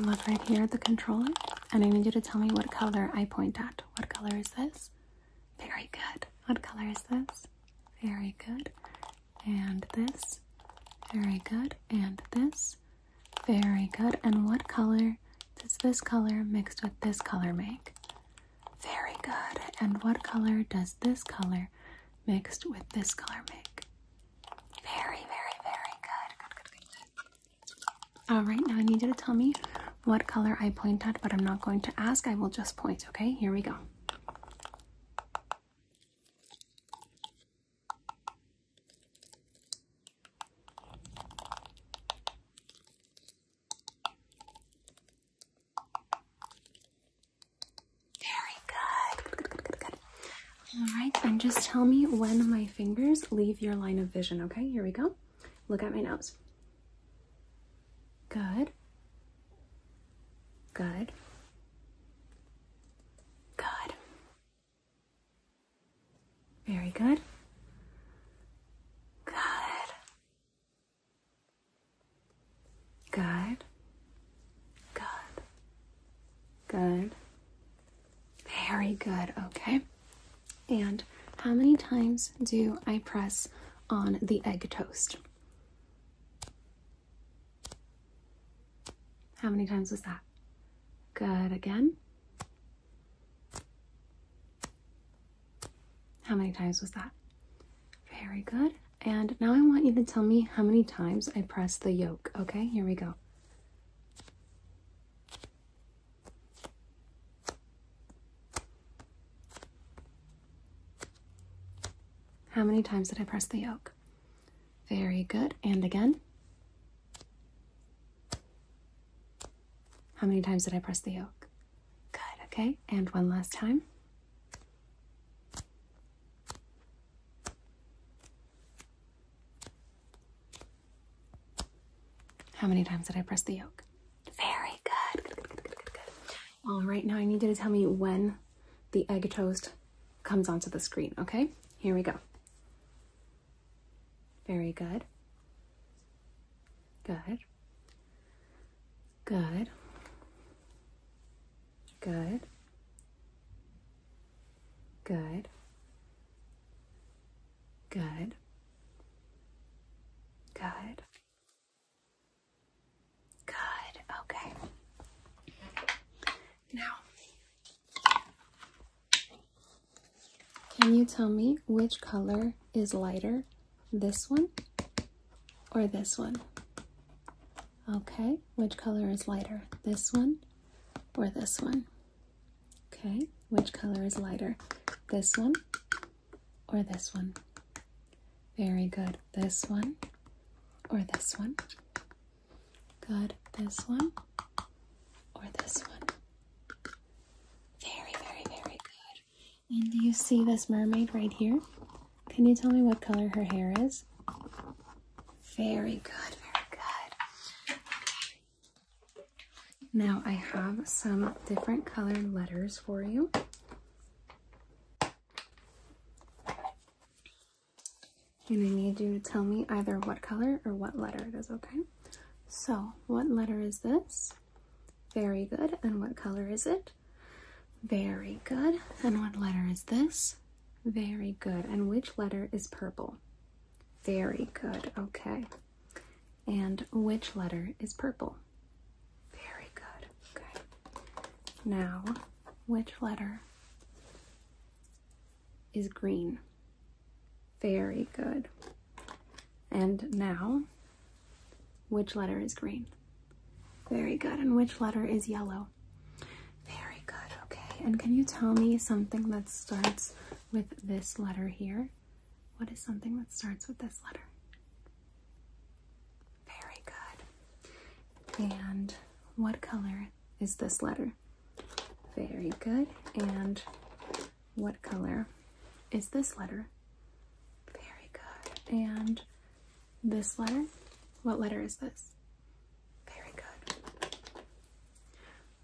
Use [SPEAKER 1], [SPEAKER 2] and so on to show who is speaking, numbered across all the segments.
[SPEAKER 1] Look right here at the controller, and I need you to tell me what color I point at. What color is this? Very good. What color is this? Very good. And this? Very good. And this? Very good. And what color does this color mixed with this color make? Very good. And what color does this color mixed with this color make? Very, very, very good. Good, good, good, good. All right, now I need you to tell me what color I pointed, but I'm not going to ask. I will just point, okay? Here we go. Very good. All right, and just tell me when my fingers leave your line of vision, okay? Here we go. Look at my nose. Good. Good. Good. Very good. Good. Good. Good. Good. Very good, okay. And how many times do I press on the egg toast? How many times was that? Good again. How many times was that? Very good. And now I want you to tell me how many times I press the yolk, okay? Here we go. How many times did I press the yoke? Very good. And again. How many times did I press the yoke? Good. Okay. And one last time. How many times did I press the yolk? Very good. Good, All right, now I need you to tell me when the egg toast comes onto the screen, okay? Here we go. Very good. Good. Good. Good. Good. Good. Good. Good. Okay. Now, can you tell me which color is lighter? This one or this one? Okay, which color is lighter? This one or this one? Okay, which color is lighter? This one or this one? Very good. This one or this one? Good. This one or this one? Very, very, very good. And do you see this mermaid right here? Can you tell me what color her hair is? Very good, very good. Now I have some different colored letters for you. And I need you to tell me either what color or what letter it is, okay? So, what letter is this? Very good. And what color is it? Very good. And what letter is this? Very good. And which letter is purple? Very good. Okay. And which letter is purple? Very good. Okay. Now, which letter is green? Very good. And now, which letter is green? Very good. And which letter is yellow? Very good. Okay. And can you tell me something that starts with this letter here? What is something that starts with this letter? Very good. And what color is this letter? Very good. And what color is this letter? Very good. And this letter? What letter is this? Very good.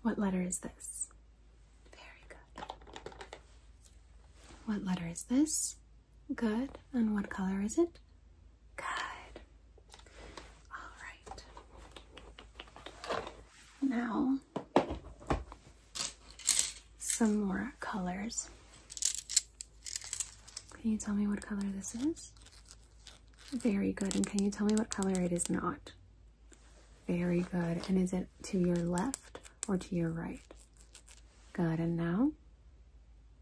[SPEAKER 1] What letter is this? Very good. What letter is this? Good. And what color is it? Good. All right. Now, some more colors. Can you tell me what color this is? Very good. And can you tell me what color it is not? Very good. And is it to your left or to your right? Good. And now?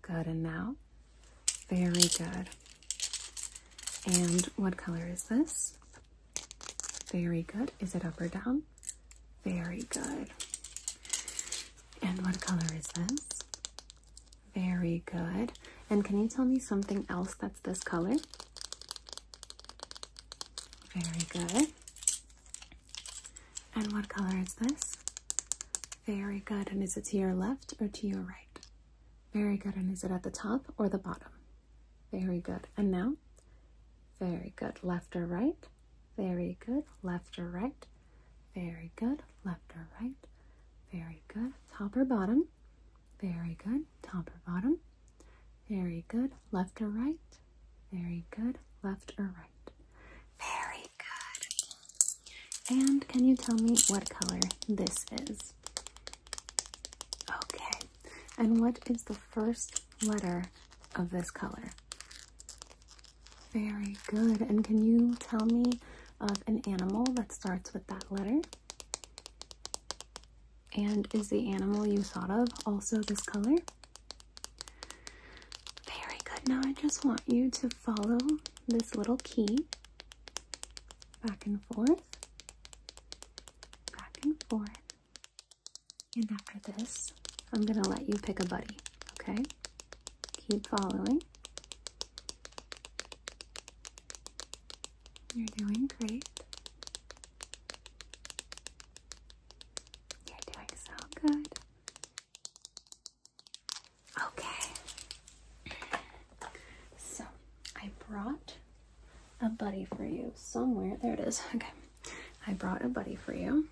[SPEAKER 1] Good. And now? Very good. And what color is this? Very good. Is it up or down? Very good. And what color is this? Very good. And can you tell me something else that's this color? Very good. And what color is this? Very good. And is it to your left or to your right? Very good. And is it at the top or the bottom? Very good. And now? Very good. Left or right? Very good. Left or right? Very good. Left or right? Very good. Top or bottom? Very good. Top or bottom. Very good. Left or right. Very good. Left or right. Very good. And can you tell me what color this is? Okay. And what is the first letter of this color? Very good. And can you tell me of an animal that starts with that letter. And is the animal you thought of also this color? Very good. Now I just want you to follow this little key back and forth, back and forth. And after this, I'm going to let you pick a buddy, okay? Keep following. You're doing great. You're doing so good. Okay. So, I brought a buddy for you somewhere. There it is. Okay. I brought a buddy for you.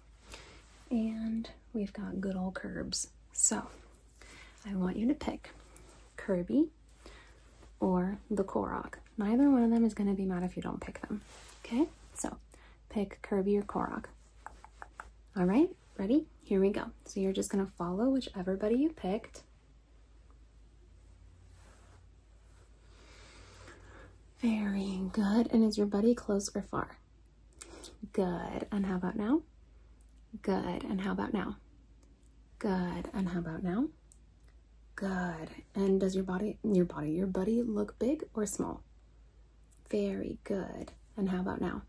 [SPEAKER 1] And we've got good old curbs. So, I want you to pick Kirby or the Korok. Neither one of them is going to be mad if you don't pick them. Okay, so pick Kirby or Korok. All right, ready? Here we go. So you're just going to follow whichever buddy you picked. Very good. And is your buddy close or far? Good. And how about now? Good. And how about now? Good. And how about now? Good. And does your body, your body, your buddy look big or small? Very good. And how about now?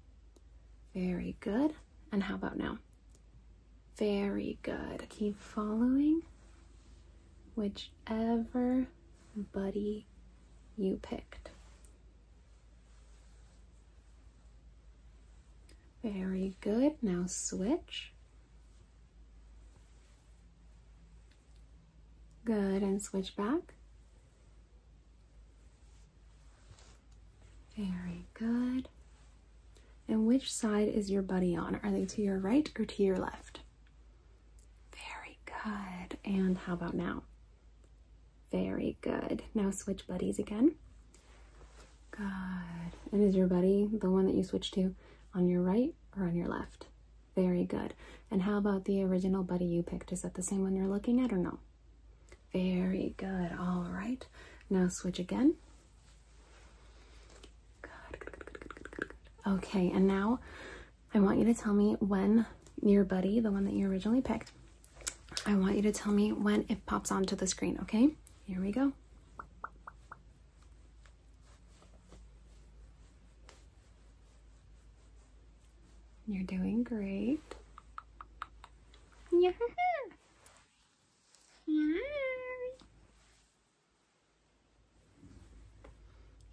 [SPEAKER 1] Very good. And how about now? Very good. Keep following whichever buddy you picked. Very good. Now switch. Good, and switch back. Very good. And which side is your buddy on? Are they to your right or to your left? Very good. And how about now? Very good. Now switch buddies again. Good. And is your buddy the one that you switched to on your right or on your left? Very good. And how about the original buddy you picked? Is that the same one you're looking at or no? Very good. All right. Now switch again. Good, Okay, and now I want you to tell me when your buddy, the one that you originally picked, I want you to tell me when it pops onto the screen, okay? Here we go. You're doing great. Yeah.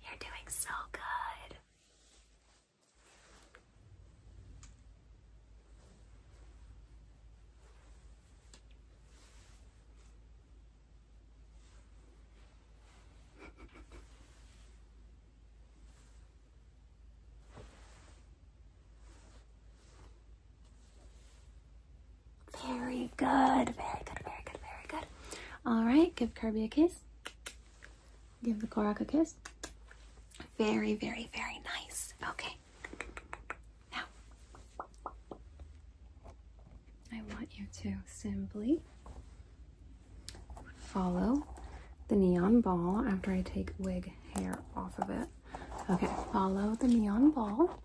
[SPEAKER 1] You're doing so good. Very good, very good, very good, very good. All right, give Kirby a kiss. Give the Korok a kiss. Very, very, very nice. Okay. Now, I want you to simply follow the neon ball after I take wig hair off of it. Okay, follow the neon ball.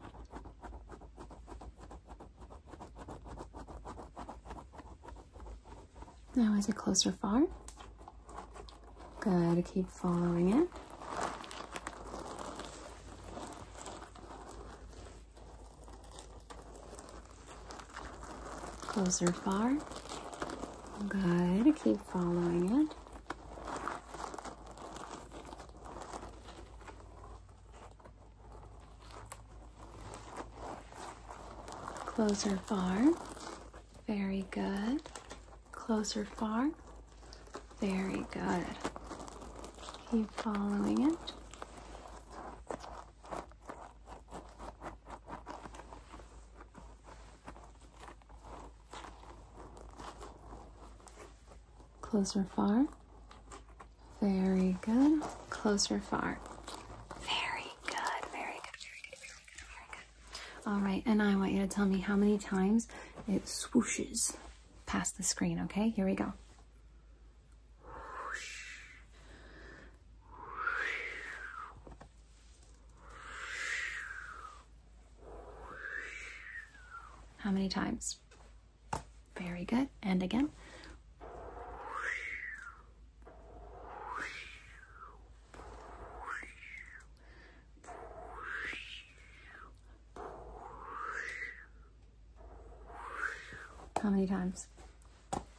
[SPEAKER 1] Now, is it closer far, good, keep following it. Closer far, good, keep following it. Closer far. Very good. Closer far. Very good. Keep following it. Closer far. Very good. Closer far. Very good. Very good. Very good. Very good. All right, and I want you to tell me how many times it swooshes past the screen, okay? Here we go. How many times? Very good. And again. How many times?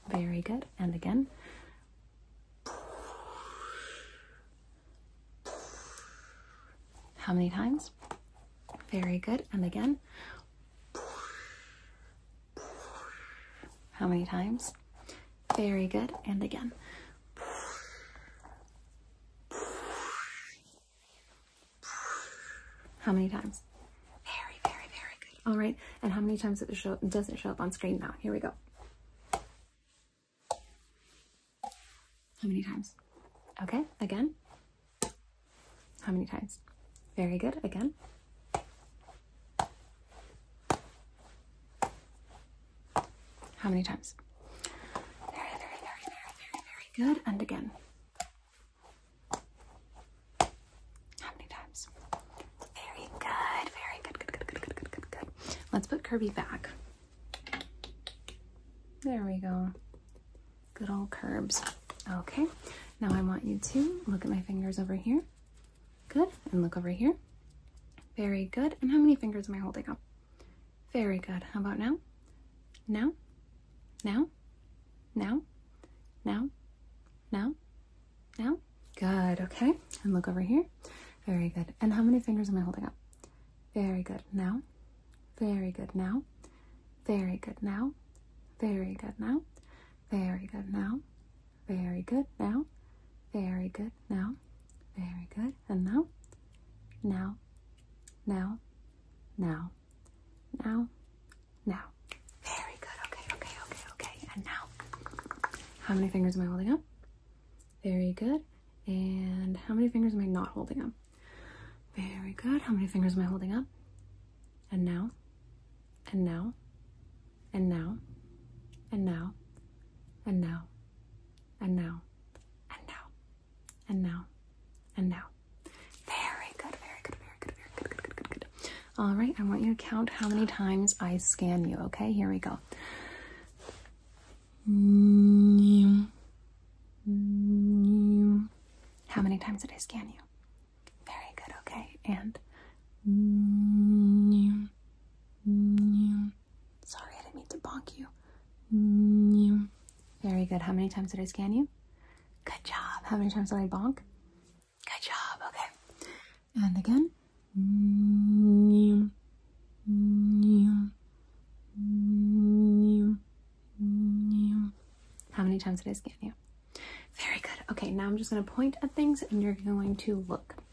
[SPEAKER 1] Very good. And again. How many times? Very good. And again. How many times? Very good. And again. How many times? Very, very, very good. All right. And how many times does it show, does it show up on screen now? Here we go. How many times? Okay. Again. How many times? Very good. Again. How many times? Very, very, very, very, very, very good. And again. How many times? Very good. Very good. Good, good, good, good, good, good, good. Let's put Kirby back. There we go. Good old curbs. Okay. Now I want you to look at my fingers over here. Good. And look over here. Very good. And how many fingers am I holding up? Very good. How about now? Now? Now? Now? Now? Now? Now? Good. Okay. And look over here. Very good. And how many fingers am I holding up? Very good. Now? Very good. Now? Very good. Now? Very good. Now? Very good. Now? Very good. Now. Very good. Now. Very good. And now. Now. Now. Now. Now. Now. Very good. Okay, okay, okay, okay. And now. How many fingers am I holding up? Very good. And how many fingers am I not holding up? Very good. How many fingers am I holding up? And now. And now and now, and now, and now, and now, and now, and now, and now. Very good, very good, very good, very good, good, good, good, good. All right, I want you to count how many times I scan you, okay? Here we go. How many times did I scan you? Very good, okay. And Mm, sorry, I didn't mean to bonk you. Mm, very good. How many times did I scan you? Good job. How many times did I bonk? Good job. Okay. And again. How many times did I scan you? Very good. Okay, now I'm just going to point at things and you're going to look.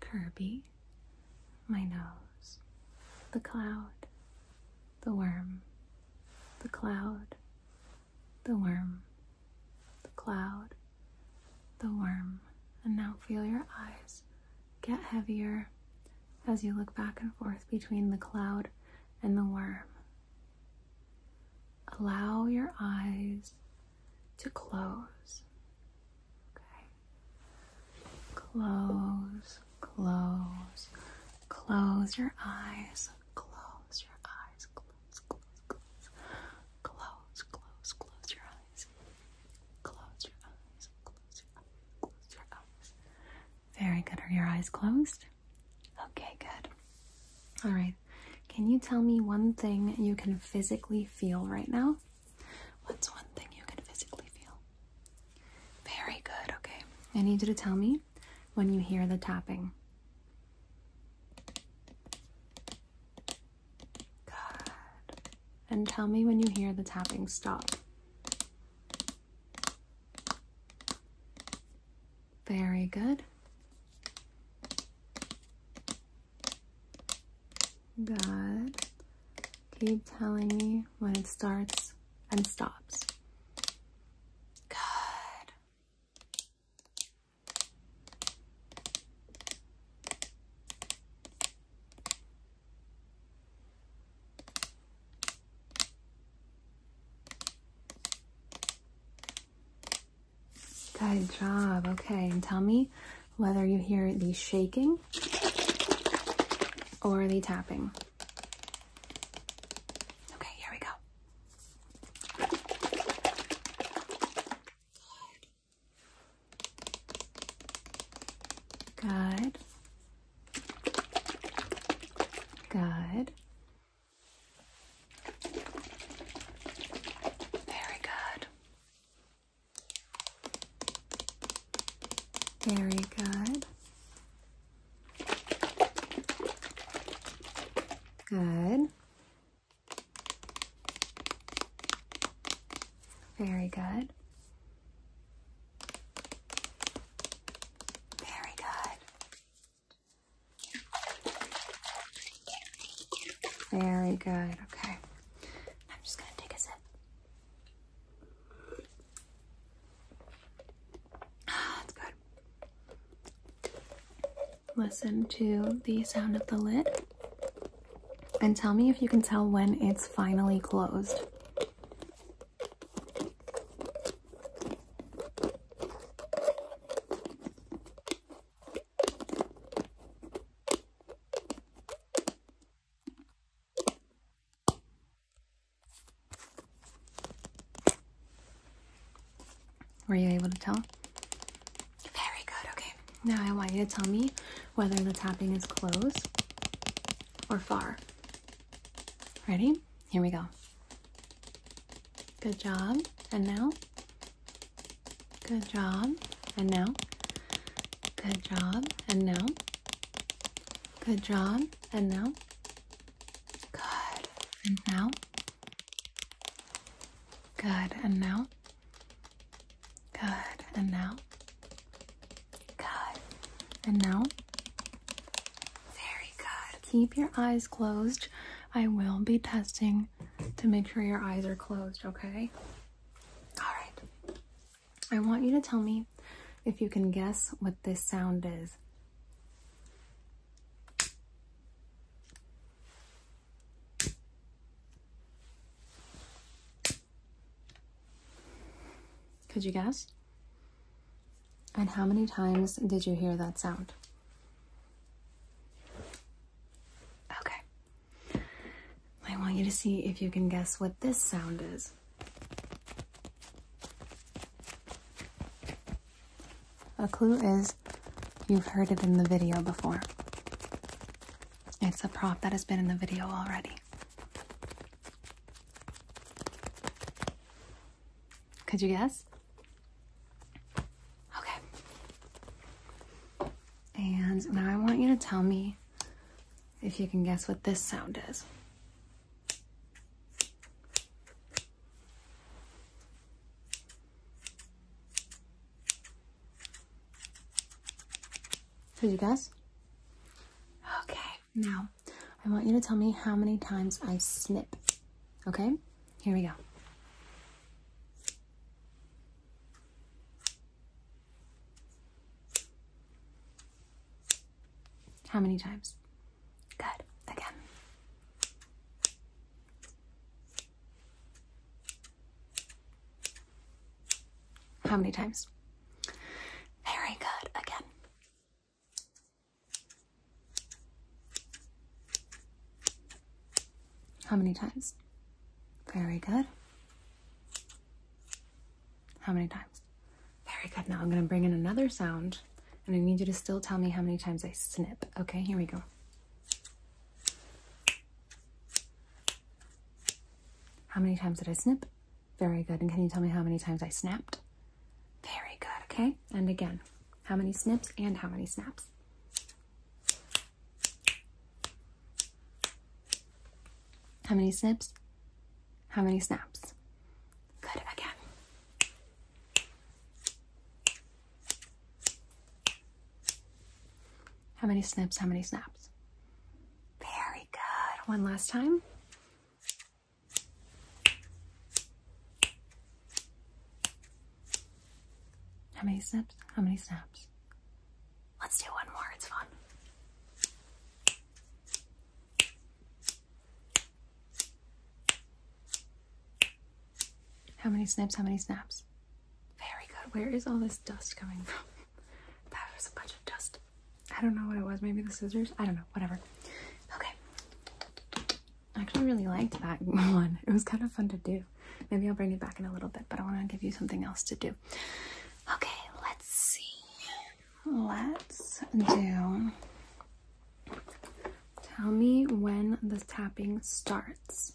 [SPEAKER 1] Kirby, my nose, the cloud, the worm, the cloud, the worm, the cloud, the worm. And now feel your eyes get heavier as you look back and forth between the cloud and the worm. Allow your eyes to close Okay. Close, close, close your eyes. Close your eyes. Close, close, close. Close, close, close your eyes. Close your eyes. Close your eyes. Close your eyes. Very good. Are your eyes closed? Okay, good. All right. Can you tell me one thing you can physically feel right now? What's one thing you can physically feel? Very good, okay. I need you to tell me when you hear the tapping. Good. And tell me when you hear the tapping stop. Very good. God, keep telling me when it starts and stops. God. Good job. Okay, and tell me whether you hear the shaking or the tapping. Okay, here we go. Good. Good. Very good. Very good. Good. Very good. Very good. Very good. Okay. I'm just gonna take a sip. Ah, it's good. Listen to the sound of the lid and tell me if you can tell when it's finally closed. Were you able to tell? Very good, okay. Now I want you to tell me whether the tapping is close or far. Ready? Here we go. Good job. And now Good job. And now. Good job. And now. Good job. And now. Good. And now. Good. And now. Good. And now. Good. And now. Very good. Keep your eyes closed. I will be testing to make sure your eyes are closed, okay? All right. I want you to tell me if you can guess what this sound is. Could you guess? And how many times did you hear that sound? Okay, I want you to see if you can guess what this sound is. A clue is you've heard it in the video before. It's a prop that has been in the video already. Could you guess? Okay. And now I want you to tell me if you can guess what this sound is. Did you guess? Okay, now I want you to tell me how many times I snip. Okay, here we go. How many times? Good. Again. How many times? Very good. Again. How many times? Very good. How many times? Very good. Now I'm going to bring in another sound and I need you to still tell me how many times I snip. Okay, here we go. How many times did I snip? Very good. And can you tell me how many times I snapped? Very good. Okay. And again, how many snips and how many snaps? How many snips? How many snaps? Good again. How many snips? How many snaps? Very good. One last time. How many snaps? How many snaps? Let's do one more, it's fun. How many snaps? How many snaps? Very good. Where is all this dust coming from? that was a bunch of dust. I don't know what it was. Maybe the scissors? I don't know. Whatever. Okay. I actually really liked that one. It was kind of fun to do. Maybe I'll bring you back in a little bit, but I want to give you something else to do. Okay, let's see. Let's do. Tell me when the tapping starts.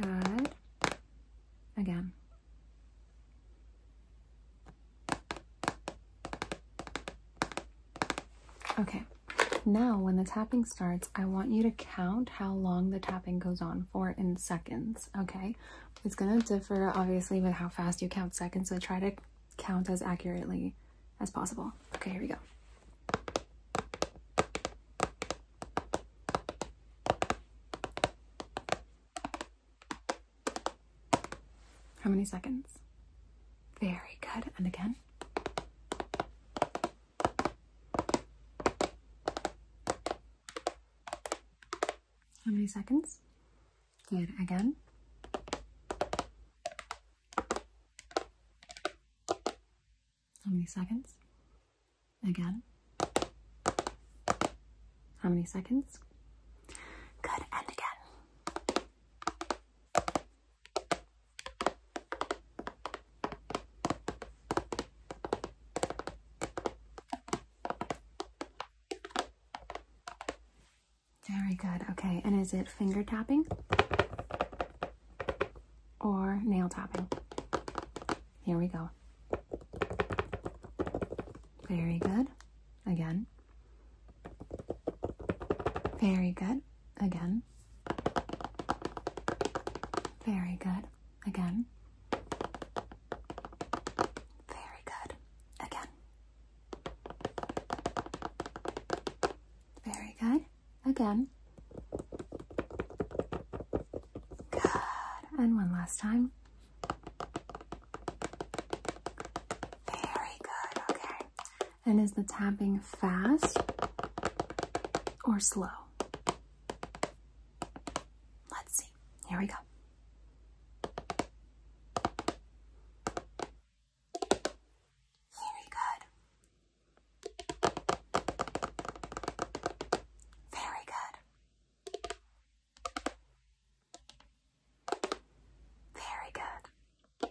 [SPEAKER 1] Good. Again. Okay. Now, when the tapping starts, I want you to count how long the tapping goes on for in seconds, okay? It's gonna differ, obviously, with how fast you count seconds, so try to count as accurately as possible. Okay, here we go. How many seconds? Very good. And again. How many seconds? Good, again. How many seconds? Again. How many seconds? Good, and again. Very good. Okay, and is it finger tapping or nail tapping? Here we go. Very good. Again. Very good. Again. Very good. Again. Very good. Again. Very good. Again. Good. And one last time. Very good. Okay. And is the tapping fast or slow? Let's see. Here we go. Very good. Very good. Very good.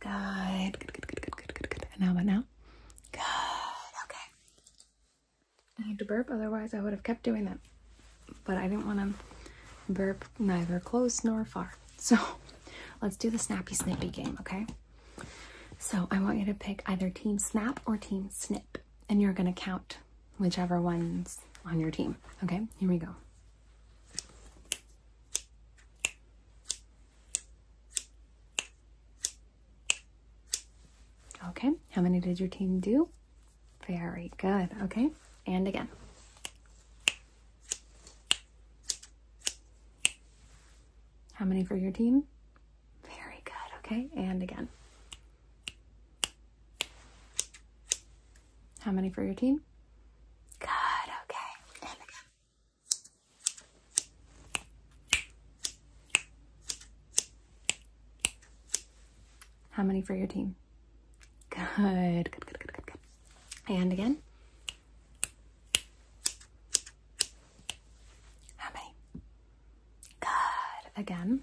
[SPEAKER 1] Good. Good, good, good, good, good, good, good. And how about now? Good. Okay. I need to burp, otherwise I would have kept doing that. But I didn't want to burp neither close nor far. So let's do the snappy snippy game, okay? So I want you to pick either team snap or team snip. And you're going to count whichever one's on your team. Okay, here we go. Okay, how many did your team do? Very good. Okay, and again. How many for your team? Very good. Okay, and again. How many for your team? Good. Okay, and again. How many for your team? Good, good, good, good, good, good. And again. How many? Good. Again.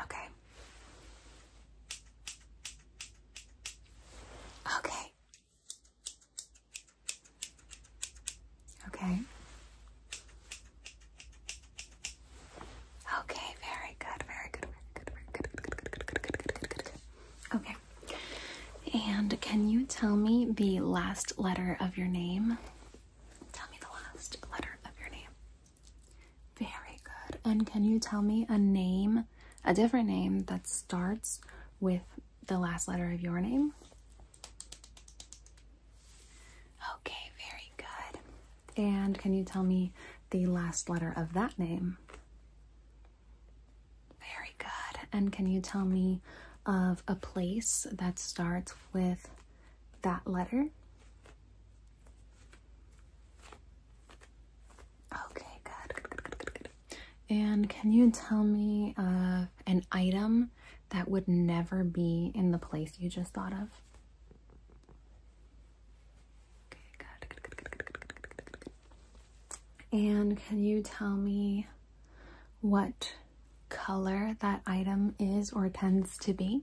[SPEAKER 1] Okay. Okay. Okay. Okay, very good, very good, very good, very good, Okay. And can you tell me the last letter of your name? Tell me the last letter of your name. Very good. And can you tell me a name, a different name that starts with the last letter of your name? Okay, very good. And can you tell me the last letter of that name? Very good. And can you tell me of a place that starts with that letter? Okay, good. Good, good, good, good, good. And can you tell me an item that would never be in the place you just thought of? Okay, good, good, good, good, good, good. And can you tell me what color that item is or tends to be?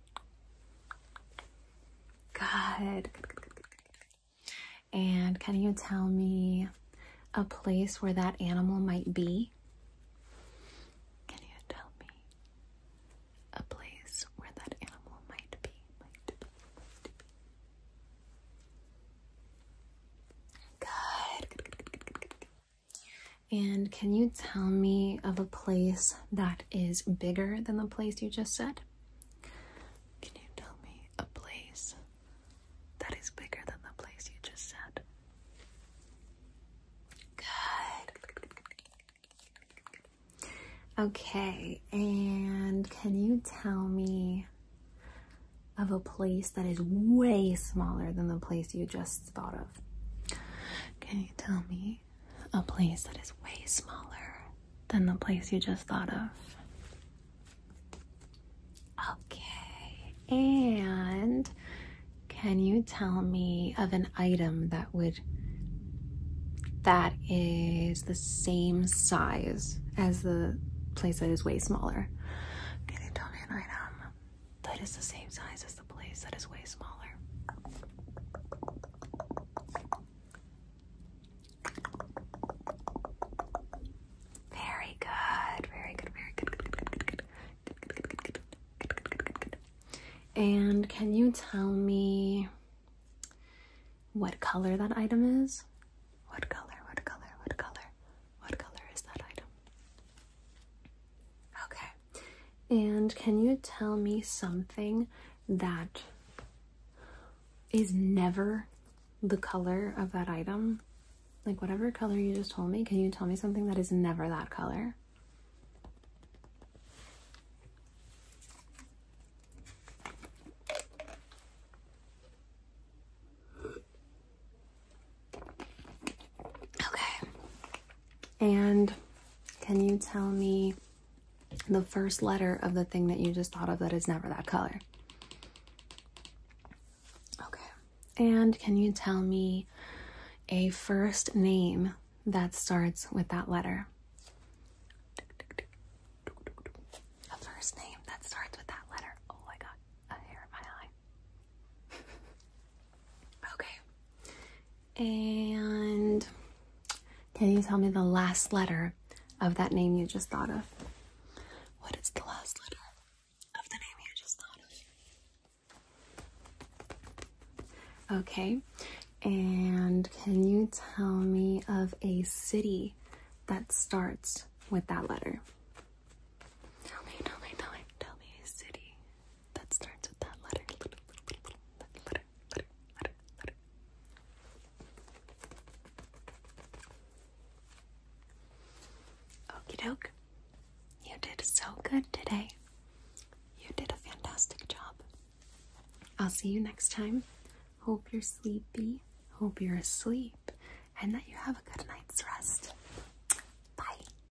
[SPEAKER 1] Good. And can you tell me a place where that animal might be? Can you tell me a place where that animal might be? good. And can you tell me of a place that is bigger than the place you just said? Can you tell me a place that is bigger than the place you just said? Good. Okay, and can you tell me of a place that is way smaller than the place you just thought of. Can you tell me a place that is way smaller than the place you just thought of? Okay. And can you tell me of an item that would that is the same size as the place that is way smaller? Can you tell me an item that is the same size as the place that is way smaller. Very good, very good, very good, And can you tell me what color that item is? What color, what color, what color, what color is that item? Okay. And can you tell me something that is never the color of that item? Like whatever color you just told me, can you tell me something that is never that color? Okay. And can you tell me the first letter of the thing that you just thought of that is never that color? Okay. And can you tell me a first name that starts with that letter? A first name that starts with that letter. Oh, I got a hair in my eye. okay. And can you tell me the last letter of that name you just thought of? What is the last letter of the name you just thought of? Okay. And can you tell me of a city that starts with that letter? Tell me, tell me, tell me, tell me a city that starts with that letter. That letter, letter, letter, letter. Okie doke. You did so good today. You did a fantastic job. I'll see you next time. Hope you're sleepy. Hope you're asleep and that you have a good night's rest. Bye.